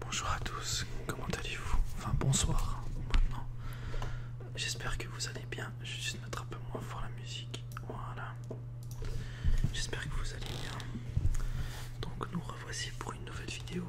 Bonjour à tous, comment allez-vous Enfin bonsoir maintenant. J'espère que vous allez bien. Je vais juste mettre un peu moins fort la musique. Voilà. J'espère que vous allez bien. Donc nous revoici pour une nouvelle vidéo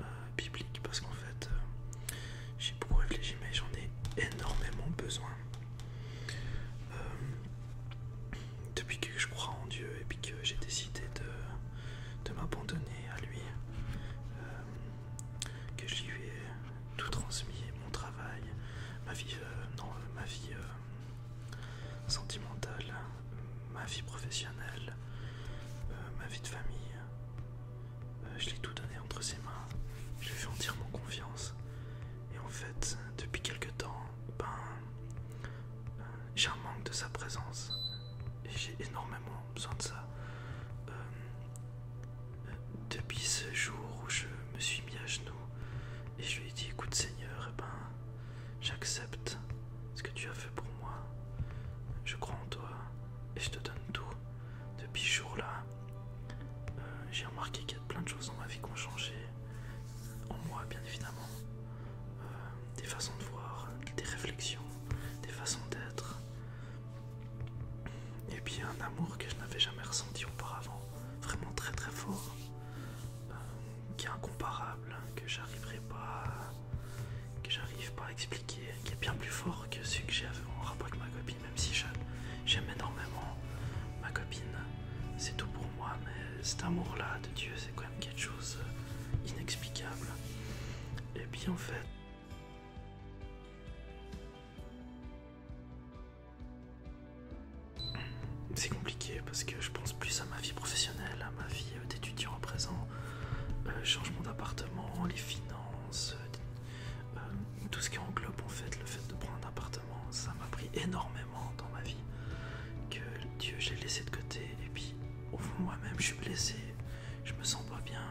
euh, biblique parce qu'en fait euh, j'ai beaucoup réfléchi mais j'en ai énormément besoin. Euh, depuis que je crois en Dieu et puis que j'ai décidé de de m'abandonner à lui, euh, que je lui ai tout transmis, mon travail, ma vie, euh, euh, sentimentale, ma vie professionnelle, ma vie de famille. Je je l'ai tout donné entre ses mains, je lui ai fait entièrement confiance. Et en fait, depuis quelque temps, ben, j'ai un manque de sa présence j'ai énormément besoin de ça. Euh, depuis ce jour où je me suis mis à genoux et je lui ai dit écoute Seigneur, eh ben, j'accepte ce que tu as fait pour moi, je crois en toi et je te donne tout. Depuis ce jour-là, euh, j'ai remarqué qu'il y a plein de choses dans ma vie qui ont changé, en moi bien évidemment. Euh, des façons de voir, des réflexions, des façons d'être. Et puis un amour que je n'avais jamais ressenti auparavant, vraiment très très fort, euh, qui est incomparable, que j'arriverai pas, que j'arrive pas à expliquer, qui est bien plus fort que ce que j'avais en rapport avec ma copine, même si j'aime énormément ma copine, c'est tout pour moi, mais cet amour-là de Dieu, c'est quand même quelque chose euh, inexplicable. Et eh bien en fait, c'est compliqué parce que je pense plus à ma vie professionnelle, à ma vie euh, d'étudiant à présent, euh, changement d'appartement, les finances, euh, tout ce qui englobe en fait le fait de prendre un appartement, ça m'a pris énormément dans ma vie que Dieu j'ai laissé de côté et puis au moi-même je suis blessé, je me sens pas bien,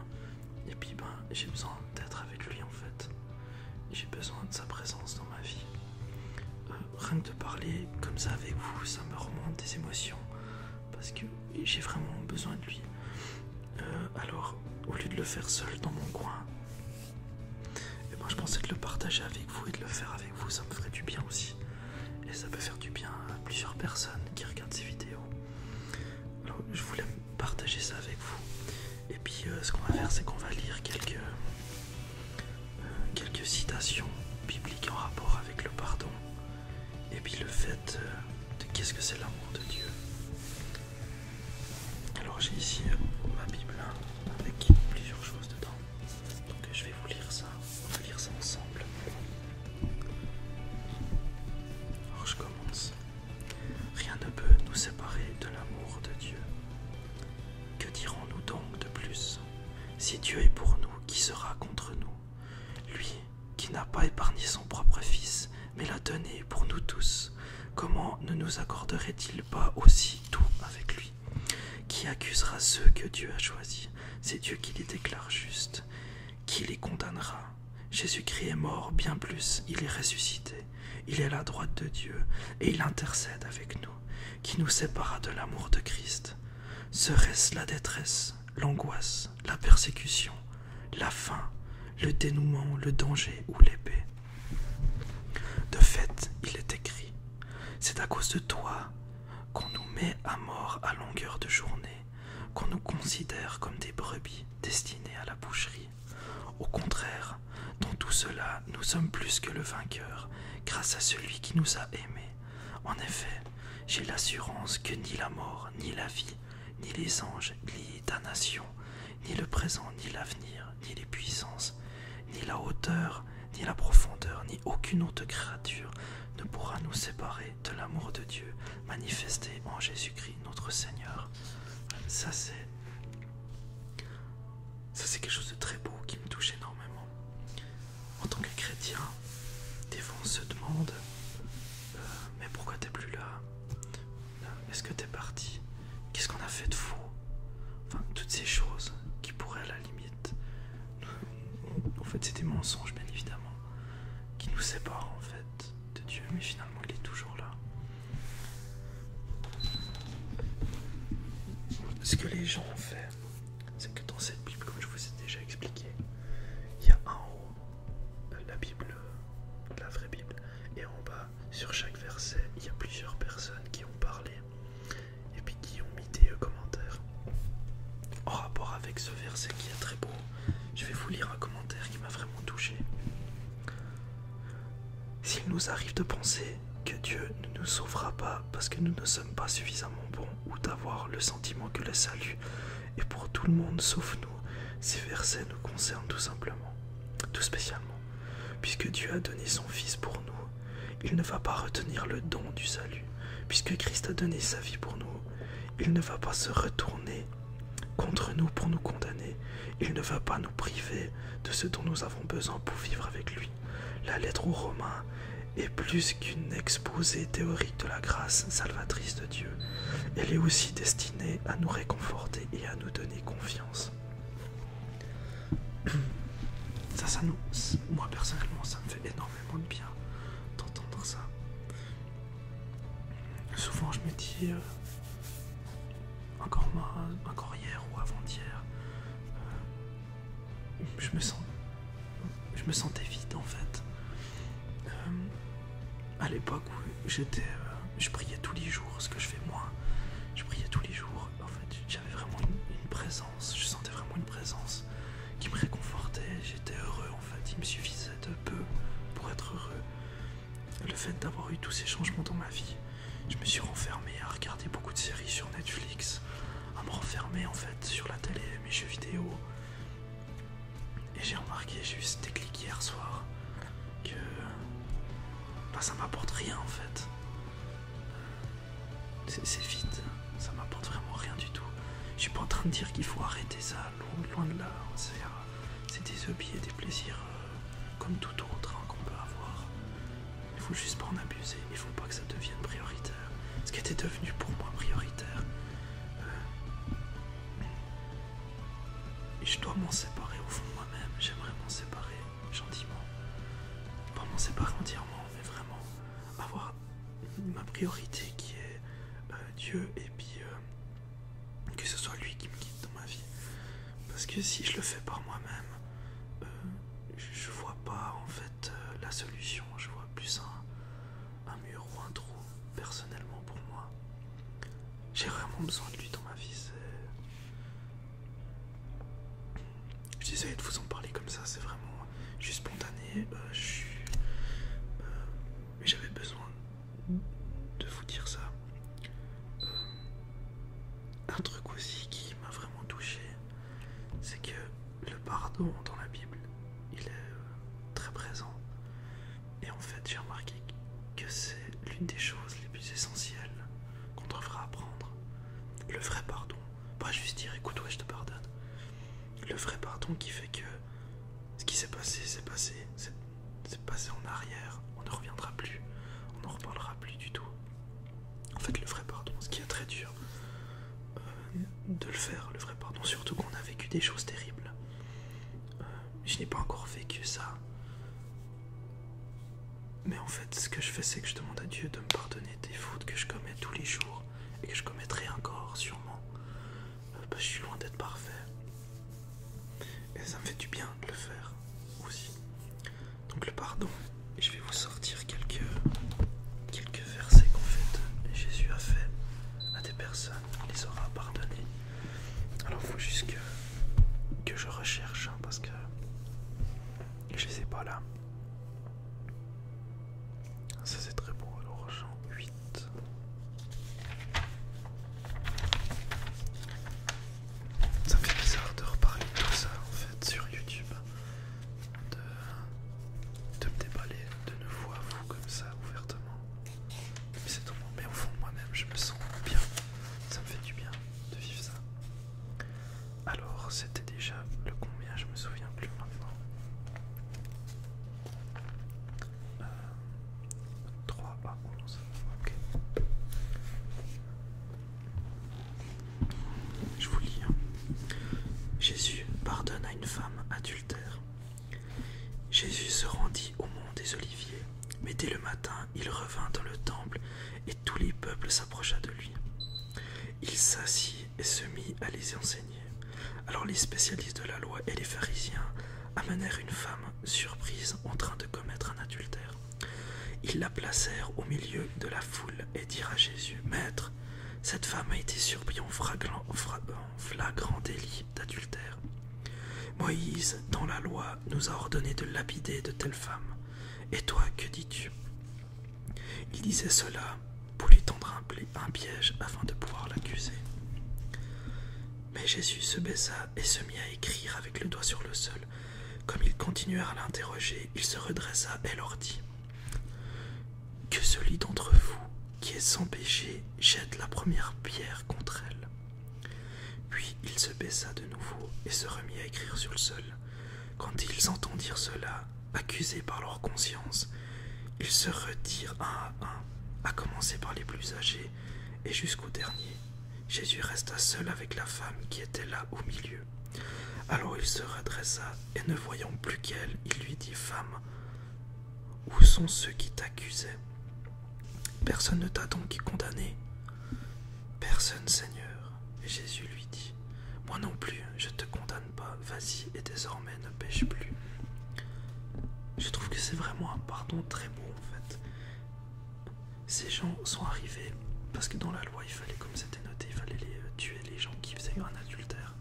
et puis ben j'ai besoin d'être avec lui en fait, j'ai besoin de sa présence dans ma vie. Euh, rien que de parler comme ça avec vous, ça me remonte des émotions, parce que j'ai vraiment besoin de lui. Euh, alors, au lieu de le faire seul dans mon coin, et eh ben, je pensais de le partager avec vous et de le faire avec vous, ça me ferait du bien aussi. Et ça peut faire du bien à plusieurs personnes qui regardent ces vidéos. Alors, je voulais partager ça avec vous. Et puis euh, ce qu'on va faire, c'est qu'on va lire quelques, euh, quelques citations bibliques en rapport avec le pardon. Et puis le fait euh, de qu'est-ce que c'est l'amour de Dieu. Alors j'ai ici ma Bible hein, avec plusieurs choses dedans. Donc je vais vous lire ça, on va lire ça ensemble. Alors je commence. Rien ne peut nous séparer de l'amour de Dieu. Que dirons-nous donc de plus Si Dieu est pour nous, qui sera contre nous Lui qui n'a pas épargné son propre Fils, mais l'a donné pour nous tous, comment ne nous accorderait-il pas aussi tout avec lui Qui accusera ceux que Dieu a choisis c'est Dieu qui les déclare justes, qui les condamnera. Jésus-Christ est mort, bien plus, il est ressuscité, il est à la droite de Dieu, et il intercède avec nous, qui nous sépara de l'amour de Christ. Serait-ce la détresse, l'angoisse, la persécution, la faim, le dénouement, le danger ou l'épée De fait, il est écrit, c'est à cause de toi qu'on nous met à mort à longueur de journée, qu'on nous considère comme des brebis destinées à la boucherie. Au contraire, dans tout cela, nous sommes plus que le vainqueur, grâce à celui qui nous a aimés. En effet, j'ai l'assurance que ni la mort, ni la vie, ni les anges, ni ta nation, ni le présent, ni l'avenir, ni les puissances, ni la hauteur, ni la profondeur, ni aucune autre créature ne pourra nous séparer de l'amour de Dieu manifesté en Jésus-Christ notre Seigneur. Ça c'est... Ça c'est quelque chose de très beau qui me touche énormément. En tant que chrétien, des fois on se demande, euh, mais pourquoi t'es plus là euh, Est-ce que t'es parti Qu'est-ce qu'on a fait de faux Enfin, toutes ces choses qui pourraient à la limite en fait, c'est des mensonges, bien évidemment, qui nous séparent en fait de Dieu, mais finalement, il est toujours là. Ce que les gens ont fait, c'est que dans cette Bible, comme je vous ai déjà expliqué, il y a en haut la Bible, la vraie Bible, et en bas, sur chaque verset, il y a plusieurs personnes qui ont parlé et puis qui ont mis des euh, commentaires en rapport avec ce verset qui est très beau. Je vais vous lire un commentaire qui m'a vraiment touché. S'il nous arrive de penser que Dieu ne nous sauvera pas parce que nous ne sommes pas suffisamment bons ou d'avoir le sentiment que le salut est pour tout le monde sauf nous, ces versets nous concernent tout simplement, tout spécialement, puisque Dieu a donné son Fils pour nous il ne va pas retenir le don du salut, puisque Christ a donné sa vie pour nous. Il ne va pas se retourner contre nous pour nous condamner. Il ne va pas nous priver de ce dont nous avons besoin pour vivre avec lui. La lettre aux Romains est plus qu'une exposée théorique de la grâce salvatrice de Dieu. Elle est aussi destinée à nous réconforter et à nous donner confiance. Ça, moi personnellement, ça me fait énormément vraiment de bien d'entendre ça. Souvent je me dis, euh, encore, moi, encore hier ou avant-hier, euh, je, me sens, je me sentais vide en fait. Euh, à l'époque où j'étais, je priais tous les jours, ce que je fais moi, je priais tous les jours. En fait, j'avais vraiment une présence je sentais vraiment une présence qui me réconfortait, j'étais heureux en fait, il me suffisait de peu pour être heureux. Le fait d'avoir eu tous ces changements dans ma vie, je me suis renfermé à regarder beaucoup de séries sur Netflix, à me renfermer en fait sur la télé, mes jeux vidéo. Et j'ai remarqué, j'ai eu ce déclic hier soir, que bah, ça m'apporte rien en fait. C'est vite ça m'apporte vraiment rien du tout. Je suis pas en train de dire qu'il faut arrêter ça, loin, de là. C'est des hobbies des plaisirs euh, comme tout autre hein, qu'on peut avoir. Il faut juste pas en abuser, il faut pas que ça devienne prioritaire. Ce qui était devenu pour moi prioritaire. et euh, je dois m'en séparer au fond moi-même, j'aimerais m'en séparer gentiment. Pas m'en séparer entièrement, mais vraiment avoir ma priorité qui est euh, Dieu et puis euh, que ce soit lui qui me guide dans ma vie. Parce que si je le fais par moi-même, euh, je vois pas en fait la solution, je vois plus un, un mur ou un trou personnellement pour moi. J'ai vraiment besoin de lui dans ma vie. Je désolé de vous en parler comme ça, c'est vraiment je suis spontané, euh, euh, mais j'avais besoin de vous dire ça. Euh, un truc aussi qui m'a vraiment touché, c'est que le pardon dans la Bible, il est très présent. Et en fait, j'ai remarqué que c'est l'une des choses les plus essentielles qu'on devrait apprendre. Le vrai pardon. Pas juste dire écoute, ouais, je te pardonne le vrai pardon qui fait que ce qui s'est passé, c'est passé, c'est passé en arrière, on ne reviendra plus, on n'en reparlera plus du tout. En fait, le vrai pardon, ce qui est très dur euh, de le faire, le vrai pardon, surtout qu'on a vécu des choses terribles. Euh, je n'ai pas encore vécu ça. Mais en fait, ce que je fais, c'est que je demande à Dieu de me pardonner des fautes que je commets tous les jours et que je commettrai encore sûrement. Euh, bah, je suis loin d'être parfait. Et ça me fait du bien de le faire aussi. Donc le pardon. je vais vous sortir quelques, quelques versets qu'en fait Jésus a fait à des personnes. Il les aura pardonnés. Alors il faut juste que, je recherche hein, parce que je les ai pas là. Ça c'est très beau, alors Jean 8. Ça me fait bizarre de reparler de tout ça en fait sur YouTube. De, me déballer de nouveau à vous comme ça ouvertement. Mais c'est mais au fond moi-même je me sens bien. Ça me fait du bien de vivre ça. Alors c'était déjà le combien, je me souviens plus maintenant. Euh, oh, Je vous lis. Hein. Jésus pardonne à une femme adultère. Jésus se rendit au mont des Oliviers, mais dès le matin il revint dans le temple et tous les peuples s'approcha de lui. Il s'assit et se mit à les enseigner. Alors les spécialistes de la loi et les pharisiens amenèrent une femme surprise en train de commettre un adultère. Ils la placèrent au milieu de la foule et dirent à Jésus, Maître, cette femme a été surprise en flagrant, délit d'adultère. Moïse, dans la loi, nous a ordonné de lapider de telle femmes. Et toi, que dis-tu il disait cela pour lui tendre un, piège afin de pouvoir l'accuser. Mais Jésus se baissa et se mit à écrire avec le doigt sur le sol. Comme ils continuèrent à l'interroger, il se redressa et leur dit Que celui d'entre vous qui est sans péché jette la première pierre contre elle. Puis il se baissa de nouveau et se remit à écrire sur le sol. Quand ils entendirent cela, accusés par leur conscience, ils se retirent un à un, à commencer par les plus âgés et jusqu'au dernier. Jésus resta seul avec la femme qui était là au milieu. Alors il se redressa et ne voyant plus qu'elle, il lui dit Femme, où sont ceux qui t'accusaient Personne ne t'a donc condamné Personne, Seigneur. Jésus lui dit Moi non plus, je te condamne pas, vas-y et désormais ne pêche plus. Je trouve que c'est vraiment un pardon très beau en fait. Ces gens sont arrivés parce que dans la loi il fallait, comme c'était noté, il fallait euh, tuer les gens qui faisaient un adultère.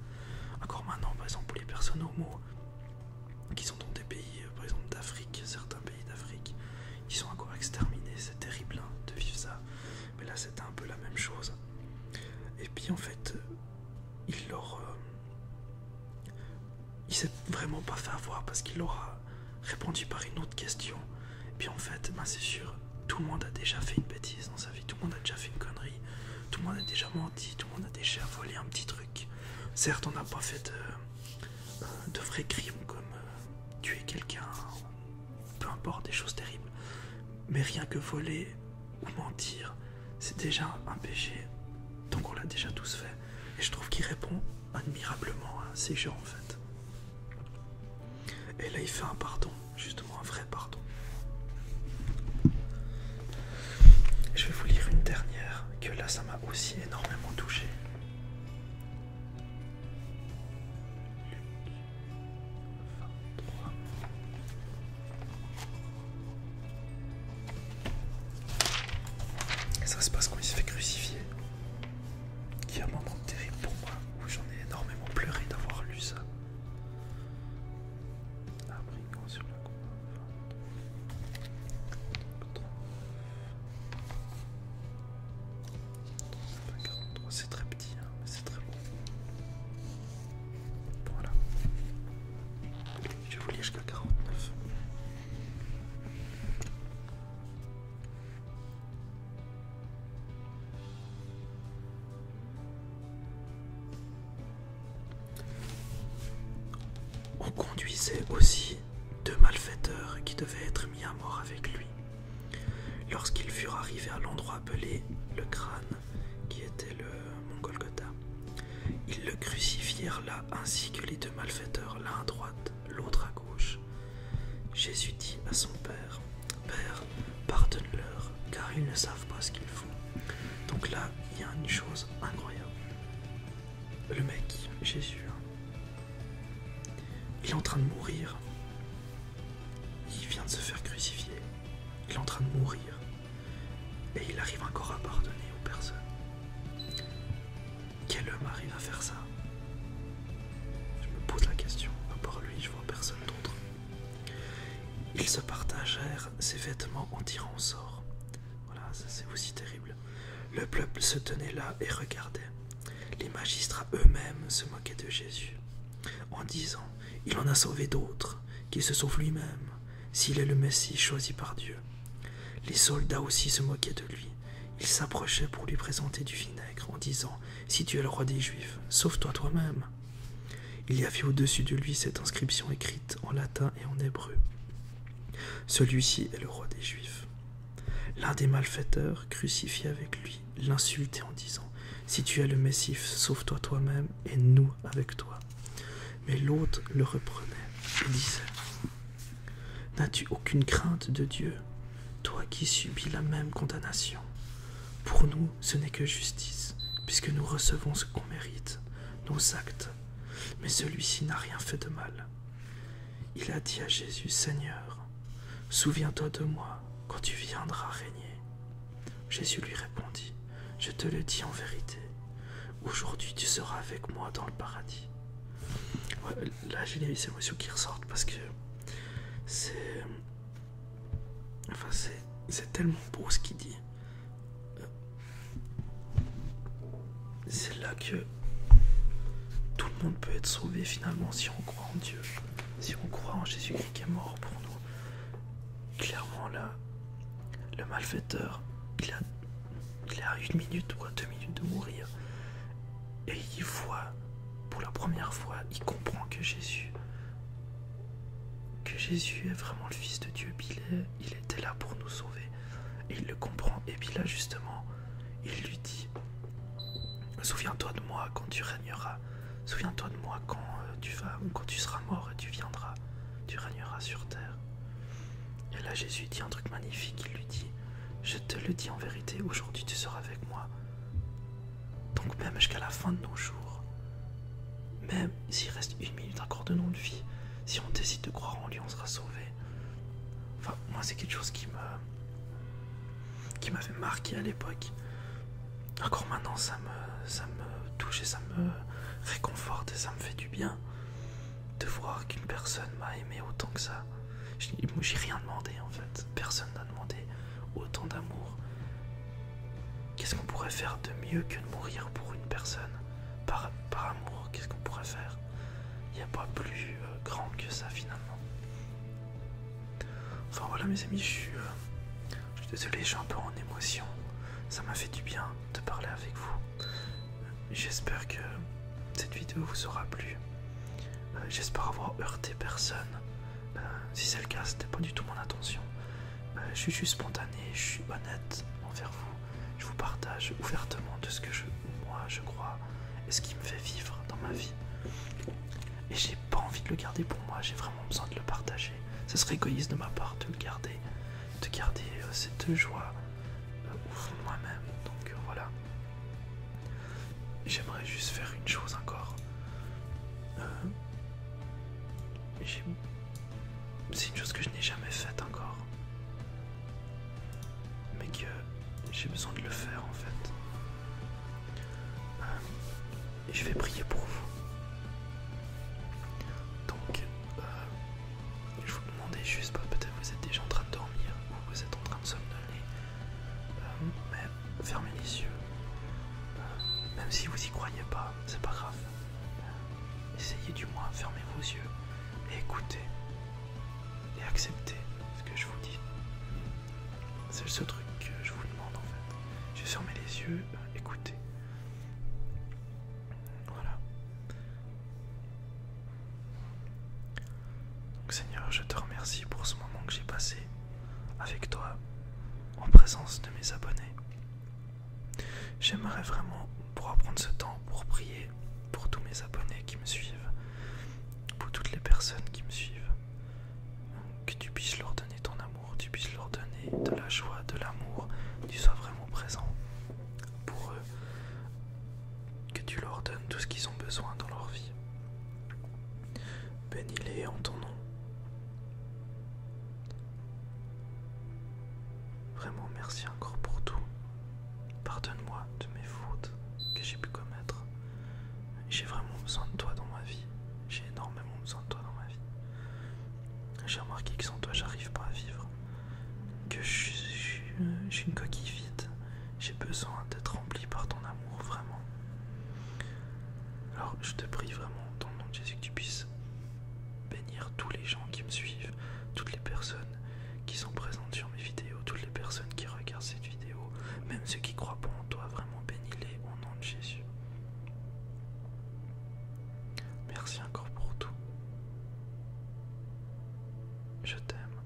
Encore maintenant, par exemple, les personnes homo qui sont dans des pays, euh, par exemple d'Afrique, certains pays d'Afrique, ils sont encore exterminés, c'est terrible hein, de vivre ça. Mais là c'était un peu la même chose. Et puis en fait, il leur. Euh, il s'est vraiment pas fait avoir parce qu'il aura répondu par une autre question. Et puis en fait, ben c'est sûr, tout le monde a déjà fait une bêtise dans sa vie, tout le monde a déjà fait une connerie, tout le monde a déjà menti, tout le monde a déjà volé un petit truc. Certes, on n'a pas fait de, euh, de vrais crimes comme euh, tuer quelqu'un, peu importe, des choses terribles. Mais rien que voler, ou mentir, c'est déjà un péché. Donc on l'a déjà tous fait. Et je trouve qu'il répond admirablement à ces gens en fait. Et là il fait un pardon, justement un vrai pardon. Je vais vous lire une dernière, que là ça m'a aussi énormément touché ça se passe quand il se fait crucifier. Qui est un moment terrible pour moi, j'en ai énormément pleuré d'avoir lu ça. sur la C'est très petit. Hein c'est très bon. Voilà. Je vous jusqu'à 49. On conduisait aussi deux malfaiteurs qui devaient être mis à mort avec lui. Lorsqu'ils furent arrivés à l'endroit appelé le crâne, qui était le euh, mon Golgotha. Ils le crucifièrent là ainsi que les deux malfaiteurs, l'un à droite, l'autre à gauche. Jésus dit à son Père, Père, pardonne-leur, car ils ne savent pas ce qu'ils font. Donc là, il y a une chose incroyable. Le mec, Jésus, hein, il est en train de mourir. Il vient de se faire crucifier. Il est en train de mourir. Et il arrive encore à pardonner aux personnes. Quel homme arrive à faire ça Je me pose la question, à part lui, je vois personne d'autre. Ils se partagèrent ses vêtements en tirant au sort. Voilà, ça c'est aussi terrible. Le peuple se tenait là et regardait. Les magistrats eux-mêmes se moquaient de Jésus. En disant Il en a sauvé d'autres, qu'il se sauve lui-même, s'il est le Messie choisi par Dieu. Les soldats aussi se moquaient de lui. Ils s'approchaient pour lui présenter du vinaigre en disant Si tu es le roi des Juifs, sauve-toi toi-même. Il y avait au-dessus de lui cette inscription écrite en latin et en hébreu Celui-ci est le roi des Juifs. L'un des malfaiteurs crucifié avec lui l'insultait en disant Si tu es le Messie, sauve-toi toi-même et nous avec toi. Mais l'autre le reprenait et disait N'as-tu aucune crainte de Dieu, toi qui subis la même condamnation Pour nous, ce n'est que justice, puisque nous recevons ce qu'on mérite, nos actes. Mais celui-ci n'a rien fait de mal. Il a dit à Jésus Seigneur, souviens-toi de moi quand tu viendras régner. Jésus lui répondit, Je te le dis en vérité, aujourd'hui tu seras avec moi dans le paradis. là j'ai les émotions qui ressortent parce que c'est... Enfin c'est tellement beau ce qu'il dit. C'est là que tout le monde peut être sauvé finalement si on croit en Dieu, si on croit en Jésus-Christ qui est mort pour nous. Clairement là, le malfaiteur, il a, il une minute ou deux minutes de mourir. Et il voit, pour la première fois, il comprend que Jésus, que Jésus est vraiment le Fils de Dieu. Il, il était là pour nous sauver. Et il le comprend. Et puis là, justement, il lui dit, souviens-toi de moi quand tu régneras. Souviens-toi de moi euh, quand tu seras mort et tu viendras, tu régneras sur terre. Et là Jésus dit un truc magnifique, il lui dit, je te le dis en vérité, aujourd'hui tu seras avec moi. Donc même jusqu'à la fin de nos jours, même s'il reste une minute encore de notre vie, si on décide de croire en lui, on sera sauvé. Enfin, moi c'est quelque chose qui me qui m'avait marqué à l'époque encore maintenant ça me, ça me touche et ça me réconforte et ça me fait du bien de voir qu'une personne m'a aimé autant que ça. J'ai rien demandé en fait, personne n'a demandé autant d'amour. Qu'est-ce qu'on pourrait faire de mieux que de mourir pour une personne par, amour Qu'est-ce qu'on pourrait faire Il n'y a pas plus euh, grand que ça finalement. Enfin voilà mes amis, je suis, euh, je suis désolé, je un peu en émotion. Ça m'a fait du bien de parler avec vous. J'espère que cette vidéo vous aura plu. Euh, j'espère avoir heurté personne. Euh, si c'est le cas, c'était pas du tout mon intention. Euh, je suis juste spontané, je suis honnête envers vous. Je vous partage ouvertement de ce que je, moi je crois et ce qui me fait vivre dans ma vie. Et j'ai pas envie de le garder pour moi, j'ai vraiment besoin de le partager. Ce serait égoïste de ma part de le garder, de garder euh, cette joie euh, moi-même. Donc euh, voilà. J'aimerais juste faire une chose encore. C'est une chose que je n'ai jamais faite encore. Mais que j'ai besoin de le faire en fait et je vais prier pour vous. Donc, euh, je vous demandais juste, pas bah, peut-être vous êtes déjà en train de dormir ou vous êtes en train de somnoler, euh, mais fermez les yeux. Euh, même si vous y croyez pas, c'est pas grave. essayez du moins, fermez vos yeux et écoutez et acceptez ce que je vous dis. C'est ce truc que je vous demande en fait. Je fermé les yeux, écoutez. Voilà. Seigneur, je te remercie pour ce moment que j'ai passé avec toi en présence de mes abonnés. J'aimerais vraiment pouvoir prendre ce temps pour prier pour tous mes abonnés qui me suivent, pour toutes les personnes qui me suivent, que tu puisses leur donner ton amour tu puisses leur donner de la joie, de l'amour, tu sois vraiment présent pour eux, que tu leur donnes tout ce qu'ils ont besoin dans leur vie. Bénis-les en ton nom. Vraiment merci encore pour tout. Pardonne-moi de mes fautes que j'ai pu commettre. J'ai vraiment besoin de toi dans ma vie. J'ai énormément besoin de toi dans ma vie. J'ai remarqué que sans toi, j'arrive pas à vivre. Que j'ai une coquille vide. J'ai besoin d'être rempli par ton amour, vraiment. Alors, je te prie vraiment, dans le nom de Jésus, que tu puisses bénir tous les gens qui me suivent, toutes les personnes qui sont présentes sur mes vidéos, toutes les personnes qui regardent cette vidéo, même ceux qui croient pas en toi, vraiment bénis-les au nom de Jésus. Merci encore pour tout. Je t'aime.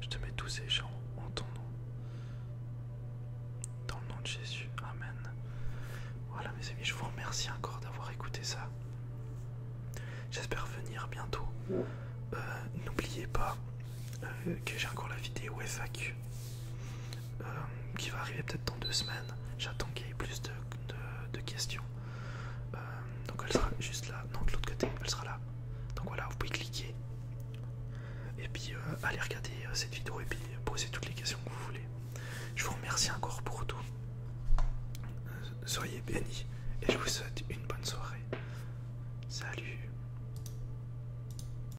Je te mets tous ces gens en ton nom. Dans le nom de Jésus. Amen. Voilà mes amis, je vous remercie encore d'avoir écouté ça. J'espère venir bientôt. Euh, n'oubliez pas euh, que j'ai encore la vidéo FAQ euh, qui va arriver peut-être dans deux semaines. J'attends qu'il y ait plus de, questions. Euh, donc elle sera juste là, non de l'autre côté, elle sera là. Donc voilà, vous pouvez cliquer et puis euh, aller regarder cette vidéo et puis poser toutes les questions que vous voulez. Je vous remercie encore pour tout. soyez bénis et je vous souhaite une bonne soirée. Salut